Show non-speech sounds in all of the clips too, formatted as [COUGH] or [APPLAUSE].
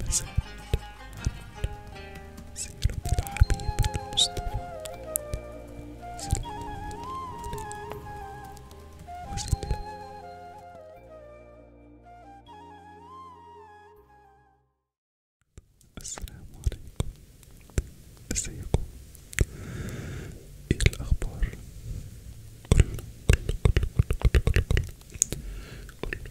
أبسمت عن سيرة الحبيب المصطفى صلى الله عليه وسلم السلام عليكم ازيكم ايه الاخبار كل كل كل كل كل كل كل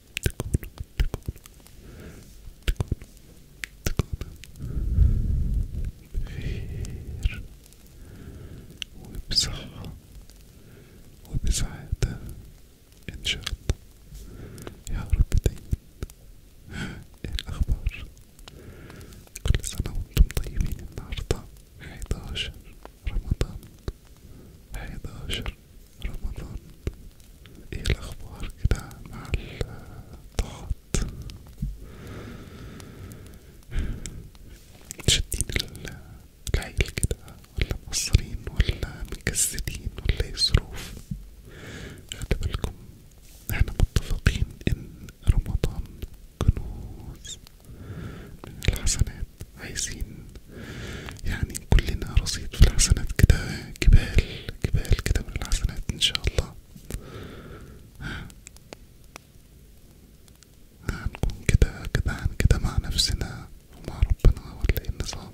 تكون بخير وبصحة وبسعادة إن شاء الله يا رب دايما إيه الأخبار كل سنة وأنتم طيبين النهاردة 11 رمضان 11 رمضان ايه الاخبار كده مع الطاعات شادين العيل كده ولا مقصرين ولا مكسدين ولا ايه الظروف خلي بالكم احنا متفقين ان رمضان كنوز من الحسنات عايزين يعني كلنا رصيد في الحسنات كده جبال جبال كده من الحسنات ان شاء الله هنكون كده كده كده مع نفسنا ومع ربنا ولا ايه النظام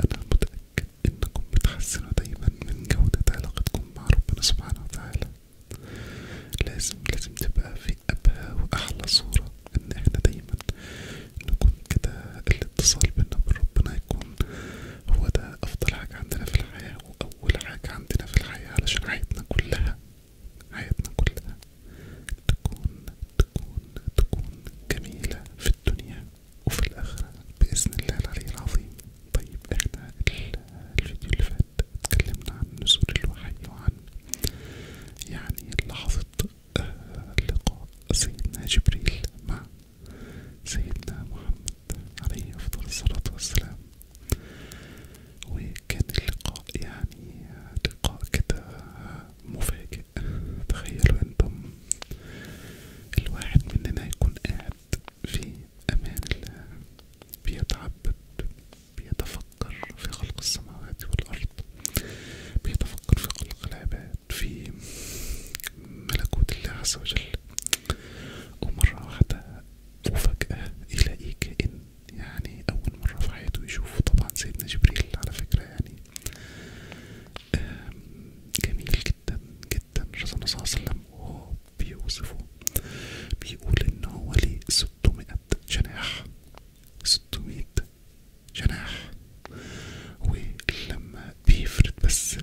انا متأكد انكم بتحسنوا دايما من جودة علاقتكم مع ربنا سبحانه وتعالى لازم لازم تبقى في أبهى وأحلى صورة ان احنا دايما نكون كده الاتصال بينا بربنا يكون هو ده افضل حاجة عندنا في الحياة واول حاجة عندنا في الحياة علشان حياتنا كلها حياتنا كلها تكون تكون تكون جميلة في الدنيا وفي الآخرة بإذن الله العلي العظيم طيب احنا الفيديو اللي فات اتكلمنا عن نزول الوحي وعن يعني لحظة لقاء سيدنا جبريل مع سيدنا محمد عليه أفضل الصلاة والسلام وكان اللقاء يعني لقاء كده مفاجئ تخيلوا انتم الواحد مننا يكون قاعد في أمان الله بيتعبد بيتفكر في خلق السماوات والأرض بيتفكر في خلق العباد في ملكوت الله عز وجل ومرة واحدة وفجأة يلاقي كائن يعني أول مرة في حياته يشوفه طبعا سيدنا جبريل على فكرة يعني جميل جدا جدا رسول الله صلى الله عليه وسلم وهو بيوصفه بيقول إن هو ليه ستمائة جناح ستمائة جناح ولما بيفرد بس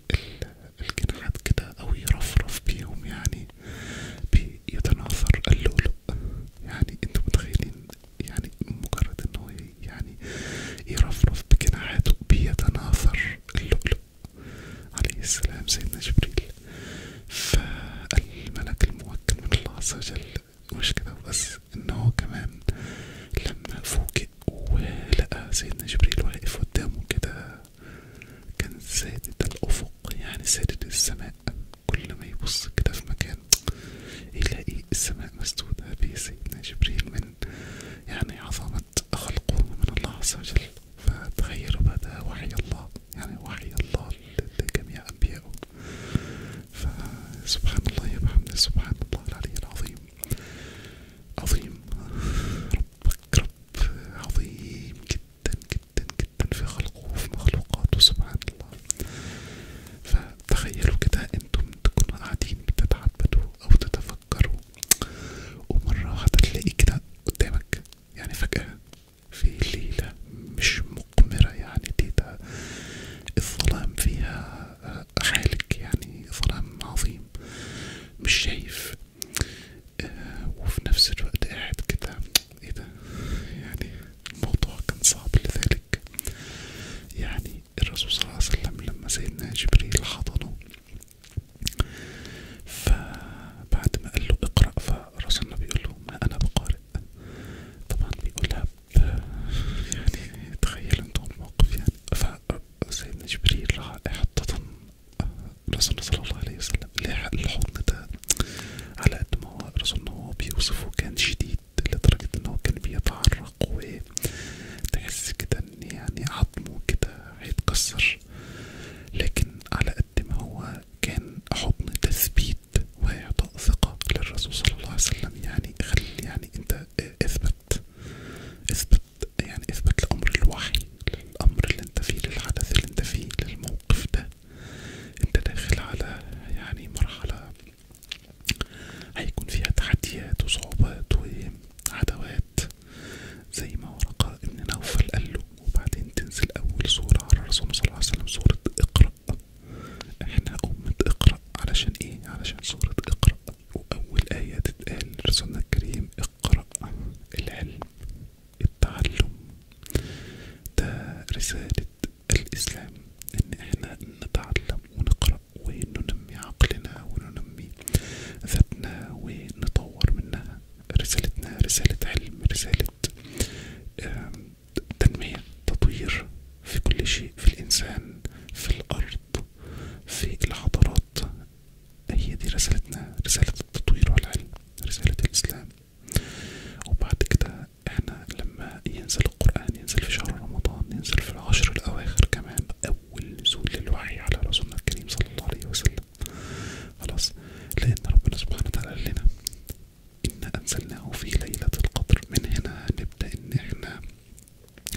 الجناحات كده أو يرفرف بيهم يعني بيتناثر اللؤلؤ يعني انتوا متخيلين يعني مجرد ان هو يعني يرفرف بجناحاته بيتناثر اللؤلؤ عليه السلام سيدنا جبريل فالملك الموكل من الله عز وجل مش كده بس ان هو كمان لما فوجئ ولقى سيدنا جبريل واقف قدامه كده كان سادد الأفق يعني سادد السماء كل ما يبص كده في مكان يلاقي السماء مسدودة بسيدنا جبريل من يعني عظمة خلقه من الله عز وجل فتخيلوا بقى ده وحي الله يعني وحي الله لجميع أنبيائه فسبحان الله يا محمد سبحان الله العلي العظيم عظيم ربك رب عظيم جدا جدا جدا في خلقه وفي مخلوقاته سبحان الله فتخيلوا كده انتم تكونوا قاعدين بتتعبدوا او تتفكروا ومرة واحدة تلاقي كده قدامك يعني فجأة في ليلة مش مقمرة يعني دي الظلام فيها آه، خالق يعني ظلام عظيم مش شايف آه وفي نفس الوقت قاعد كده ايه ده يعني الموضوع كان صعب لذلك يعني الرسول صلى الله عليه وسلم لما سيدنا جبريل حضنه فبعد ما قال له اقرأ فالرسول بيقول له ما أنا بقارئ طبعا بيقولها يعني تخيل انتم موقف يعني فسيدنا جبريل راح يحططن الرسول صلى الله عليه وسلم الحضن ده على قد ما هو الرسول هو بيوصفه كان شديد لدرجة انه كان بيتعرق وتحس كده ان يعني عظمه كده هيتكسر لكن على قد ما هو كان حضن تثبيت وإعطاء ثقة للرسول صلى الله عليه وسلم يعني خلي يعني انت آه، اثبت اثبت يعني اثبت الامر الوحي للامر اللي انت فيه للحدث اللي انت فيه للموقف ده انت داخل على يعني مرحلة هيكون فيها تحديات وصعوبات وعدوات زي ما ورقة ابن نوفل قاله وبعدين تنزل اول صورة على الرسول صلى الله عليه وسلم صورة اقرأ احنا امة اقرأ علشان ايه علشان صورة اقرأ وأول آية تتقال لرسولنا الكريم اقرأ العلم التعلم ده رسالة الإسلام إن إحنا نتعلم ونقرأ وننمي عقلنا وننمي ذاتنا ونطور منها رسالتنا رسالة علم رسالة تنمية تطوير في كل شيء في الإنسان في الأرض في الحضارات هي دي رسالتنا رسالة التطوير والعلم رسالة الإسلام وبعد كده احنا لما ينزل القرآن ينزل في شهر رمضان ينزل في العشر الأواخر كمان أول نزول للوحي على رسولنا الكريم صلى الله عليه وسلم خلاص لأن ربنا سبحانه وتعالى قال لنا إن أنزلناه في ليلة القدر من هنا نبدأ إن احنا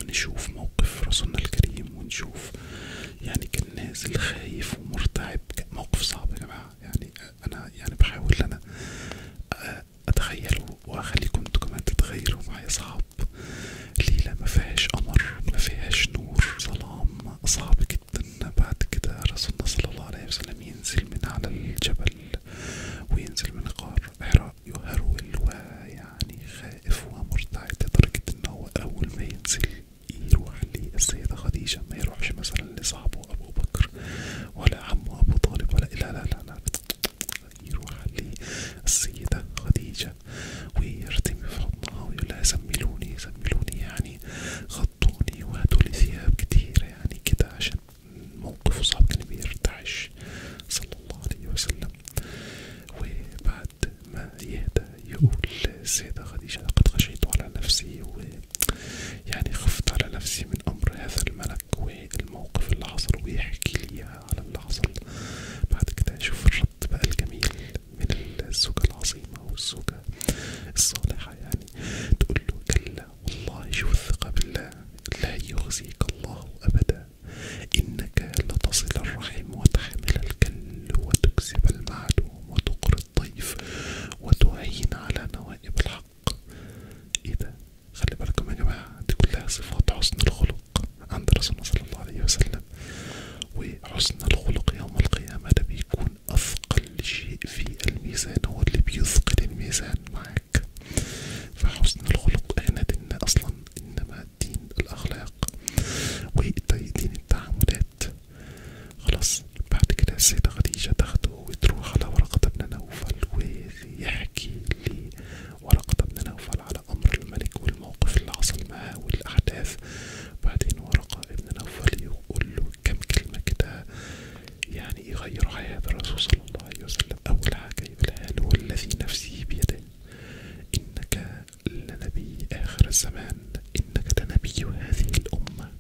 نشوف موقف رسولنا الكريم ونشوف يعني كان نازل خايف ومرتعب موقف صعب يا جماعة يعني أنا يعني بحاول أنا أتخيله وأخليكم أنتوا كمان تتخيلوا معايا صعب ليلة مفيهاش قمر مفيهاش نور ظلام صعب جدا بعد كده رسولنا صلى الله عليه وسلم ينزل من على الجبل وينزل من القار حراء يهرول ويعني خائف ومرتعد لدرجة إن هو أول ما ينزل يروح للسيدة خديجة ما يروحش مثلا لصاحبه أبو بكر ولا عمه أبو طالب ولا لا لا لا, لا. يروح للسيدة خديجة ويرتمي في حضنها ويقول لها زملوني زملوني يعني غطوني وهاتولي ثياب كتيرة يعني كده عشان موقفه صعب كان بيرتعش صلى الله عليه وسلم وبعد ما يهدى يقول السيدة خديجة لقد خشيت على نفسي ويعني خفت على نفسي من أمر هذا الملك والموقف اللي حصل ويحكي لي على اللي حصل بعد كده أشوف الرد بقى الجميل من الزوجة العظيمة والزوجة الصالحة يعني تقول له كلا والله شوف الثقة بالله لا يخزيك الله أبدا إنك لتصل الرحم وتحمل الكل وتكسب المعلوم وتقر الضيف وتعين على نوائب الحق إيه ده؟ خلي بالكم يا جماعة دي كلها صفات حسن الخلق عند رسولنا صلى الله عليه وسلم وحسن الخلق يوم القيامة ده بيكون أثقل شيء في الميزان هو اللي بيثقل الميزان معاك فحسن الخلق احنا دينا أصلا إنما دين الأخلاق ودين التعاملات خلاص بعد كده السيدة خديجة تاخده وتروح على ورقة بن نوفل ويحكي لي ورقة بن نوفل على أمر الملك والموقف اللي حصل معاه والأحداث بعدين ورقة بن نوفل يقول له كلمة كده يعني يغير حياة الرسول صلى الله عليه وسلم أول حاجة يقولها له والذي نفسي بيده إنك لنبي آخر الزمان إنك لنبي هذه الأمة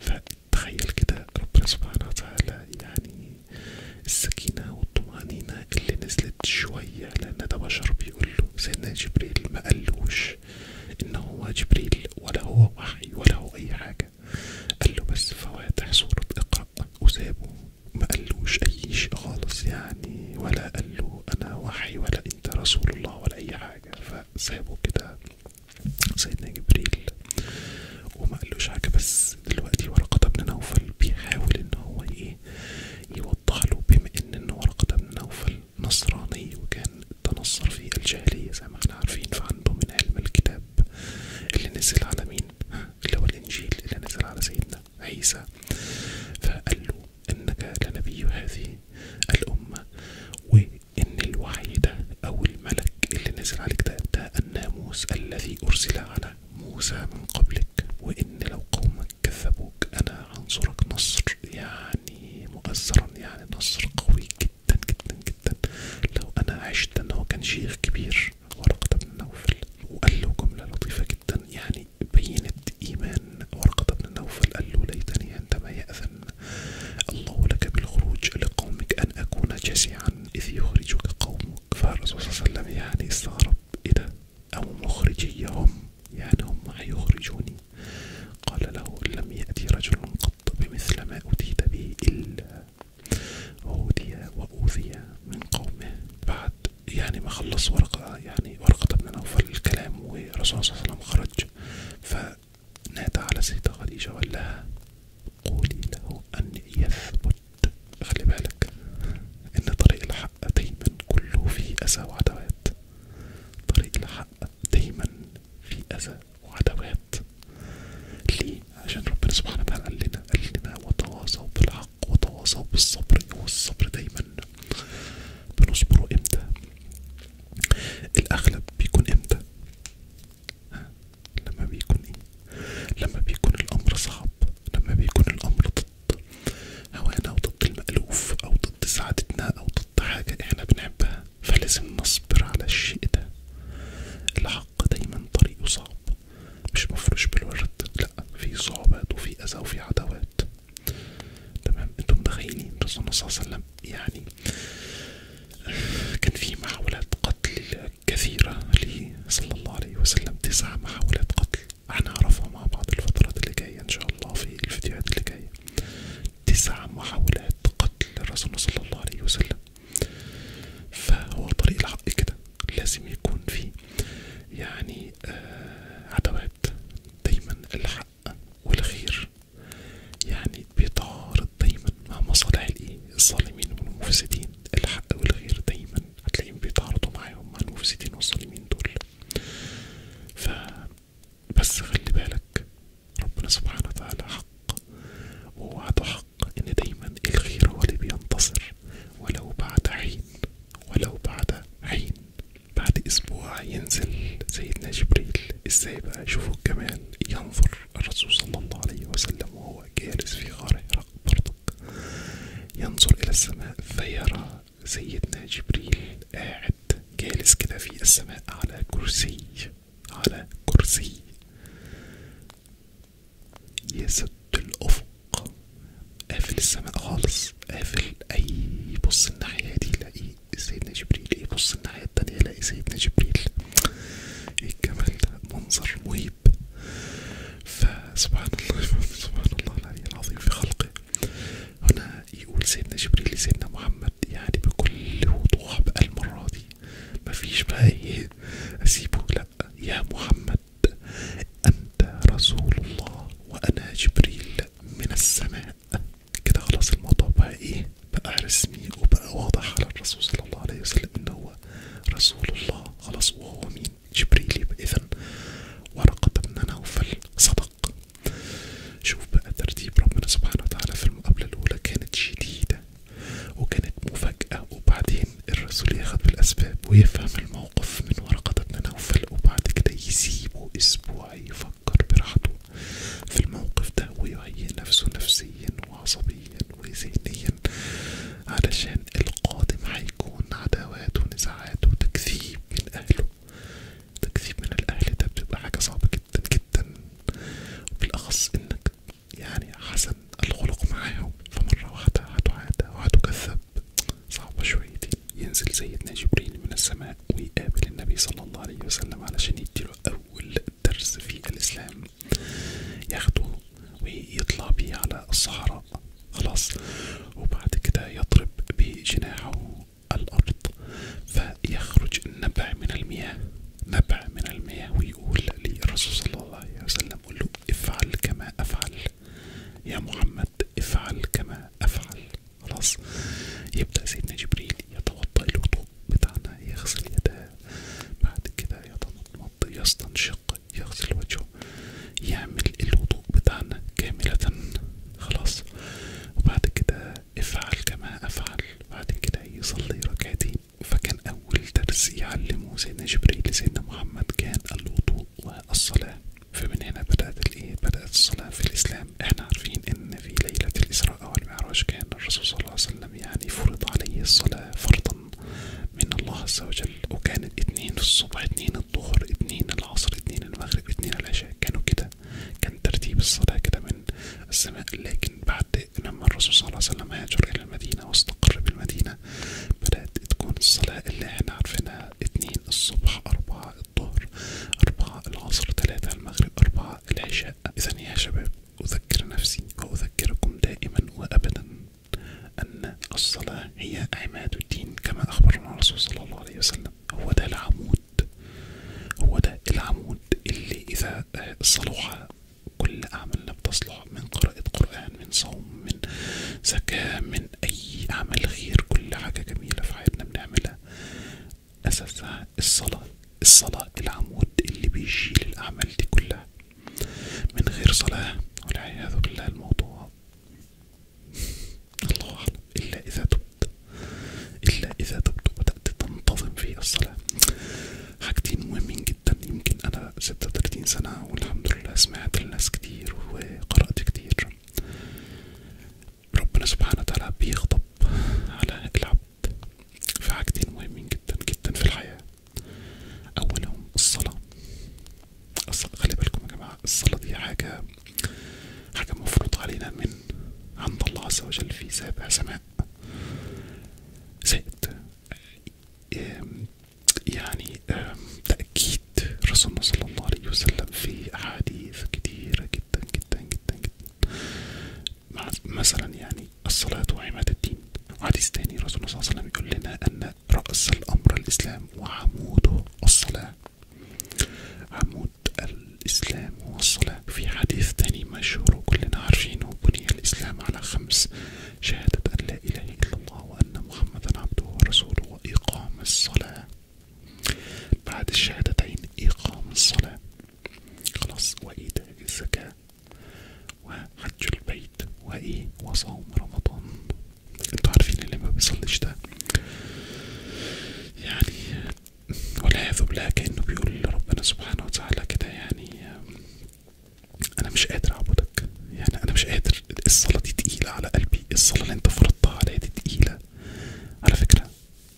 فتخيل كده ربنا سبحانه وتعالى يعني السكينة والطمأنينة اللي نزلت شوية لأن ده بشر بيقوله سيدنا جبريل ما قالوش إن هو جبريل ولا هو وحي ولا هو أي حاجة قال له بس فواتح سورة اقرأ وافق وسابه اي شيء خالص يعني ولا قالوا انا وحي ولا انت رسول الله ولا اي حاجه فسابه كده سيدنا جبريل وما حاجه بس دلوقتي ورقه بن نوفل بيحاول ان هو ايه يوضح بما ان ورقه بن نوفل نصراني وكان تنصر في الجاهليه زي ما احنا عارفين فعنده من علم الكتاب اللي نزل على مين اللي هو الانجيل اللي نزل على سيدنا عيسى فقال له انك لنبي هذه الامه وان الوحي ده او الملك اللي نزل عليك ده ده الناموس الذي ارسل على موسى من قبلك وان لو قومك كذبوك انا هنصرك نصر يعني مؤثرا يعني نصر قوي جدا جدا جدا لو انا عشت انا هو كان شيخ كبير ورقة بن نوفل وقال له جملة لطيفة جدا يعني بينت إيمان ورقة بن نوفل قال له ليتني عندما يأذن الله لك بالخروج لقومك أن أكون جشعا إذ يخرجك قومك فالرسول صلى الله عليه وسلم يعني استغرب إيه ده أو مخرجيهم يعني هم هيخرجوني قال له لم يأتي رجل قط بمثل ما أتيت به إلا أوذي وأوذي من قومه بعد يعني ما خلص ورقة يعني ورقة بن نوفل الكلام والرسول صلى الله عليه وسلم خرج فنادى على سيدة خديجة وقال لها قولي له أن يثبت خلي بالك إن طريق الحق دايما كله فيه أذى وعدوات طريق الحق دايما فيه أذى وعدوات ليه؟ عشان ربنا سبحانه وتعالى قال لنا قال لنا وتواصوا بالحق وتواصوا بالصبر والصبر دايما بنصبره امتى الاغلب بيكون امتى لما بيكون ايه لما بيكون الامر صعب لما بيكون الامر ضد هوانا او ضد المألوف او ضد سعادتنا او ضد حاجة احنا بنحبها فلازم نصبر على الشيء ده الحق دايما طريقه صعب مش مفروش بالورد لأ في صعوبات وفي أذى وفي عداوات تمام انتم متخيلين الرسول صلى الله عليه وسلم يعني كان في محاولات قتل كثيرة ليه صلى الله عليه وسلم تسع محاولات قتل هنعرفها مع بعض الفترات اللي جاية ان شاء الله في الفيديوهات اللي جاية تسع محاولات قتل الرسول صلى الله عليه وسلم فهو طريق الحق كده لازم يكون في يعني آه، عدوات دايما الحق والخير يعني بيتعارض دايما مع مصالح الايه الظالمين والمفسدين الحق والخير دايما هتلاقيهم بيتعارضوا معاهم مع المفسدين والظالمين دول ف بس خلي بالك ربنا سبحانه وتعالى حق ووعده حق ان دايما الخير هو اللي بينتصر ولو بعد حين ولو بعد حين بعد أسبوع ينزل سيدنا جبريل إزاي بقى شوفوا الجمال ينظر الرسول صلى الله عليه وسلم وهو جالس في غار حراء برضك ينظر إلى السماء فيرى سيدنا جبريل قاعد جالس كده في السماء على كرسي على كرسي يسد الأفق قافل السماء خالص قافل أي بص الناحية دي لاقي سيدنا جبريل يبص إيه، الناحية التانية لاقي سيدنا جبريل إيه الجمال ده منظر مهيب فسبحان الله سبحان الله العظيم في خلقه هنا يقول سيدنا جبريل لسيدنا محمد يعني بكل وضوح بقى المرة دي مفيش بقى ايه اسيبه لأ يا محمد الأب أنت رسول الله وأنا جبريل من السماء كده خلاص الموضوع بقى إيه بقى رسمي وبقى واضح على الرسول صلى الله عليه وسلم إن هو رسول الله خلاص وهو مين جبريل يبقى إذا ورقة بن نوفل صدق شوف بقى ترتيب ربنا سبحانه وتعالى في المقابلة الأولى كانت شديدة وكانت مفاجأة وبعدين الرسول ياخد بالأسباب ويفهم الموضوع موقف من ورقة ابن نوفل وبعد كده يسيبه أسبوع يفكر براحته في الموقف ده ويهيئ نفسه نفسيا وعصبيا وذهنيا علشان القادم هيكون عداوات ونزاعات وتكذيب من أهله تكذيب من الأهل ده بتبقى حاجة صعبة جدا جدا وبالأخص إنك يعني حسن الخلق معاهم فمرة واحدة هتعادى وهتكذب صعبة شويتين ينزل سيدنا جبريل من السماء ويقابل النبي صلى الله عليه وسلم علشان يديله أول درس في الإسلام ياخده ويطلع بيه على الصحراء خلاص وبعد كده يضرب بجناحه الأرض فيخرج نبع من المياه نبع من المياه ويقول للرسول صلى الله عليه وسلم قل له افعل كما أفعل يا محمد افعل كما افعل خلاص يبدأ سيدنا جبريل يتوضأ الوضوء بتاعنا يغسل يداه بعد كده يتمضمض يستنشق يغسل وجهه يعمل الوضوء بتاعنا كاملة خلاص وبعد كده افعل كما افعل بعد كده يصلي ركعتين فكان اول درس يعلمه سيدنا جبريل لسيدنا محمد كان الوضوء الصلاة فمن هنا بدأت الإيه بدأت الصلاة في الإسلام إحنا عارفين إن في ليلة الإسراء والمعراج كان الرسول صلى الله عليه وسلم يعني فرض عليه الصلاة فرضا من الله عز وجل وكانت اتنين الصبح اتنين الظهر اتنين العصر اتنين المغرب اتنين العشاء كانوا كده كان ترتيب الصلاة كده من السماء لكن بعد لما الرسول صلى الله عليه وسلم هاجر إلى المدينة واستقر بالمدينة لنا بدأت تكون الصلاة اللي احنا عارفينها اتنين الصبح أربعة الظهر أربعة العصر ثلاثة المغرب أربعة العشاء إذا يا شباب أذكر نفسي وأذكركم دائما وأبدا أن الصلاة هي عماد الدين كما أخبرنا الرسول صلى الله عليه وسلم هو ده العمود هو ده العمود اللي إذا صلح كل أعمالنا بتصلح من قراءة قرآن من صوم من زكاة من أي عمل خير كل حاجة جميلة في حياتنا بنعملها أساسها الصلاة الصلاة العمود اللي بيشيل الأعمال دي كلها من غير صلاة والعياذ بالله الموضوع الله أعلم إلا إذا تبت إلا إذا تبت وبدأت تنتظم في الصلاة حاجتين مهمين جدا يمكن أنا 36 سنة والحمد لله سمعت الناس كتير وقرأت كتير ربنا سبحانه وتعالى بيغضب على العبد في حاجتين مهمين جدا جدا في الحياة أولهم الصلاة خلي بالكم يا جماعة الصلاة دي حاجة حاجة مفروض علينا من عند الله عز وجل في سابع سماء زائد يعني تأكيد رسولنا صلى الله عليه وسلم في أحاديث كثيرة جدا جدا جدا جدا مثلا يعني الصلاة وعمادة الدين وحديث تاني رسولنا صلى الله عليه وسلم يقول لنا أن رأس الأمر الإسلام وعموده الصلاة عمود الإسلام هو الصلاة في حديث تاني مشهور وكلنا عارفينه بني الإسلام على خمس شهادة أن لا إله إلا الله وأن محمدا عبده ورسوله وإقام الصلاة بعد الشهادتين إقام الصلاة خلاص وإيتاء الزكاة وحج البيت وإيه وصوم رمضان انتوا عارفين اللي ما بيصليش ده يعني والعياذ بالله كأنه بيقول لربنا سبحانه وتعالى كده يعني انا مش قادر اعبدك يعني انا مش قادر الصلاه دي تقيله على قلبي الصلاه اللي انت فرضتها عليا دي تقيله على فكره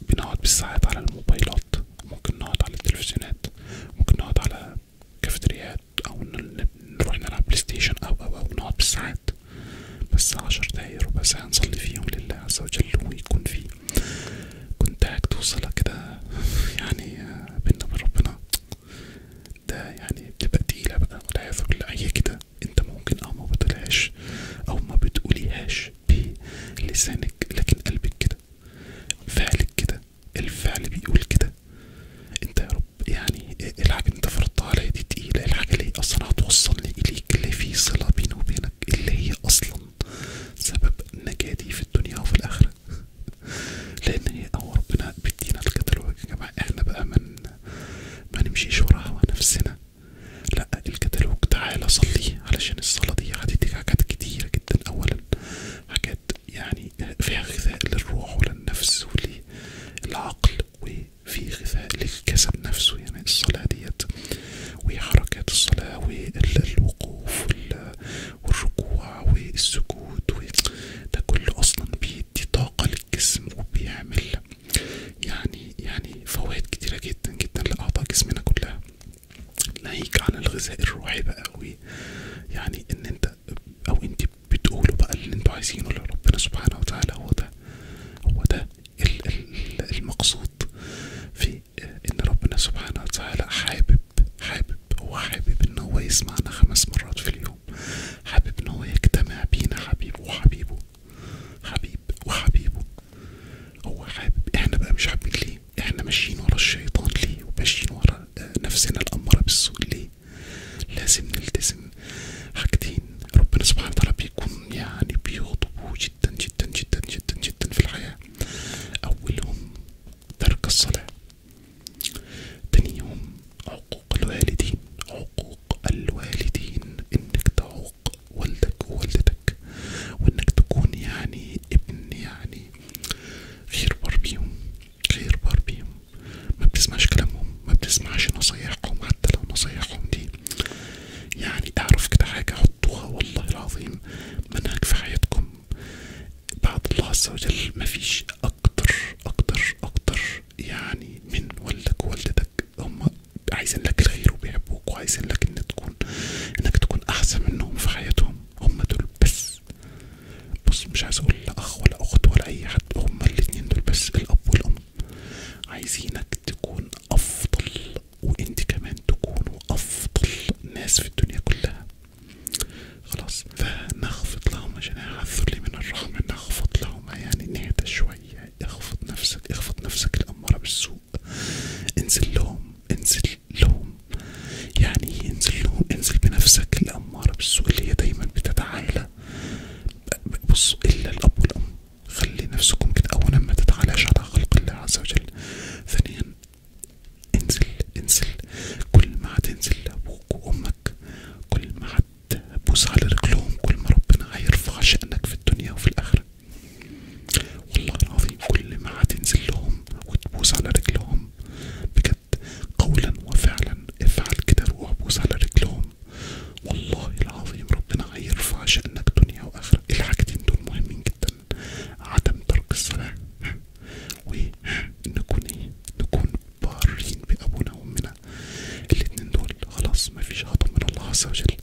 بنقعد بالساعات على الموبايلات ممكن نقعد على التلفزيونات ممكن نقعد على كافتريات او نروح نلعب بلاي ستيشن او او او نقعد بالساعات بس عشر دقايق ربع ساعه نصلي فيهم لله عز وجل ويكون في كنتاكت وصله كده يعني آه، بينا وبين ربنا ده يعني بتبقى تقيلة بقى والعياذ بالله هي كده انت ممكن اه ما بتقولهاش او ما بتقوليهاش بلسانك لكن قلبك كده فعلك كده الفعل بيقول كده انت يا رب يعني الحاجة انت فرضتها عليا دي تقيلة الحاجة اللي هي اصلا هتوصلني اليك اللي في صلة بيني وبينك اللي هي اصلا سبب نجاتي في الدنيا وفي الاخرة [LAUGHS] لان هي او آه، ربنا بيدينا الكتالوج يا جماعة احنا بقى من ما نمشيش وراها نفسنا لا الكتالوج تعالى صلي علشان الصلاة دي هتديك حاجات كتيرة جدا اولا حاجات يعني فيها غذاء للروح وللنفس وللعقل وفي غذاء للجسد نفسه يعني الصلاة ديت وحركات الصلاة والوقوف والركوع والسجود ده كله اصلا بي بيدي طاقة للجسم وبيعمل يعني يعني فوائد كتيرة جدا جدا لأعضاء جسمنا كلها ناهيك عن الغذاء الروحي بقى أوي يعني ان انت او انت بتقولوا بقى اللي انتوا عايزينه لربنا سبحانه وتعالى هو ده هو ده المقصود في ان ربنا سبحانه وتعالى حابب حابب هو حابب ان هو يسمعنا خمس مرات في اليوم اليوم حابب هو يجتمع بينا حبيب وحبيبه حبيب وحبيبه هو حابب احنا بقى مش حابين ليه احنا ماشيين ورا الشيطان ليه وماشيين ورا آه، نفسنا الأمارة بالسوء ليه لازم نلتزم حاجتين ربنا سبحانه وتعالى بيكون يعني بيغضبوا جدا جدا جدا جدا جدا في الحياة أولهم ترك الصلاة تانيهم عقوق الوالدين عقوق الوالدين انك تعوق والدك ووالدتك وانك تكون يعني ابن يعني غير بار بيهم غير بار بيهم ما بتسمعش كلامهم ما نصايحهم حتى لو نصايحهم دي يعني اعرف كده حاجة حطوها والله العظيم منهج في حياتكم بعد الله عز وجل مفيش اكتر اكتر اكتر يعني من والدك ووالدتك هم عايزين لك الخير وبيحبوك وعايزين لك ان تكون انك تكون احسن منهم في حياتهم هم دول بس بص مش عايز اقول لا اخ ولا اخت ولا اي حد هم الاتنين دول بس الاب والام عايزينك تكون افضل وانت كمان تكونوا افضل ناس في الدنيا كلها خلاص فنخفض لهما جناح الذل من الرحمة نخفض لهما يعني نهدى شوية اخفض نفسك اخفض نفسك الأمارة بالسوء انزل لهم انزل لهم يعني انزل لهم انزل بنفسك الأمارة بالسوء اللي هي دايما بتتعالى بصوا إلا الأب والأم خلي نفسكم كده أولا ما تتعالاش على خلق الله عز وجل ثانيا انزل انزل كل ما هتنزل لأبوك وأمك كل ما بوس على رجلهم كل ما ربنا هيرفع شأنك في الدنيا وفي الآخرة والله العظيم كل ما هتنزل لهم وتبوس على رجلهم بجد قولا وفعلا افعل كده روح بوس على رجلهم والله العظيم ربنا هيرفع شأنك دنيا وآخرة الحاجتين دول مهمين جدا عدم ترك الصلاة ونكون ايه نكون بارين بأبونا وأمنا كده الاتنين دول خلاص مفيش غضب من الله عز وجل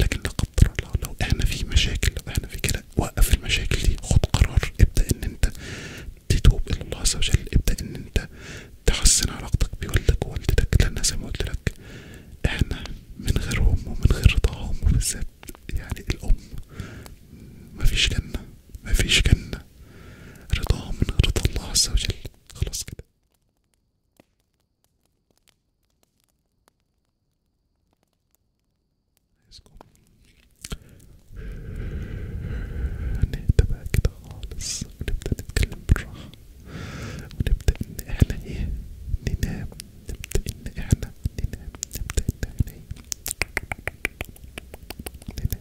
لكن لا قدر الله لو احنا في مشاكل لو احنا في كده وقف المشاكل دي خد قرار ابدا ان انت تتوب الى الله عز وجل ابدا ان انت تحسن علاقتك بوالدك ووالدتك لان زي ما قلت احنا من غيرهم ومن غير رضاهم وبالذات يعني الام مفيش جنه مفيش جنه رضاها من رضا الله عز وجل خلاص كده نهدى بقى كده خالص ونبدأ نتكلم بالراحة ونبدأ إن إحنا إيه ننام نبدأ إن إحنا ننام نبدأ إن إحنا إيه ننام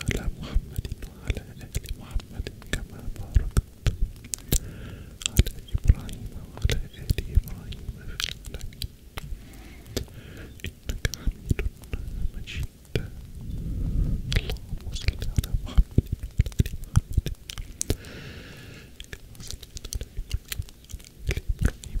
على محمد وعلى آل محمد كما باركت على إبراهيم وعلى آل إبراهيم في العالمين إنك حميد مجيد اللهم صل على محمد وعلى آل محمد كما صليت على إبراهيم وعلى آل إبراهيم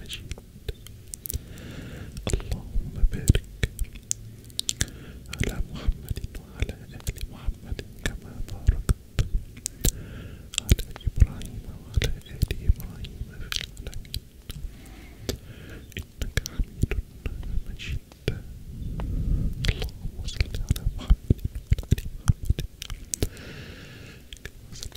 مجيد اللهم بارك على محمد وعلى آل محمد كما باركت على إبراهيم وعلى آل إبراهيم في العالمين إنك حميد مجيد اللهم صل على محمد وعلى آل محمد كما صليت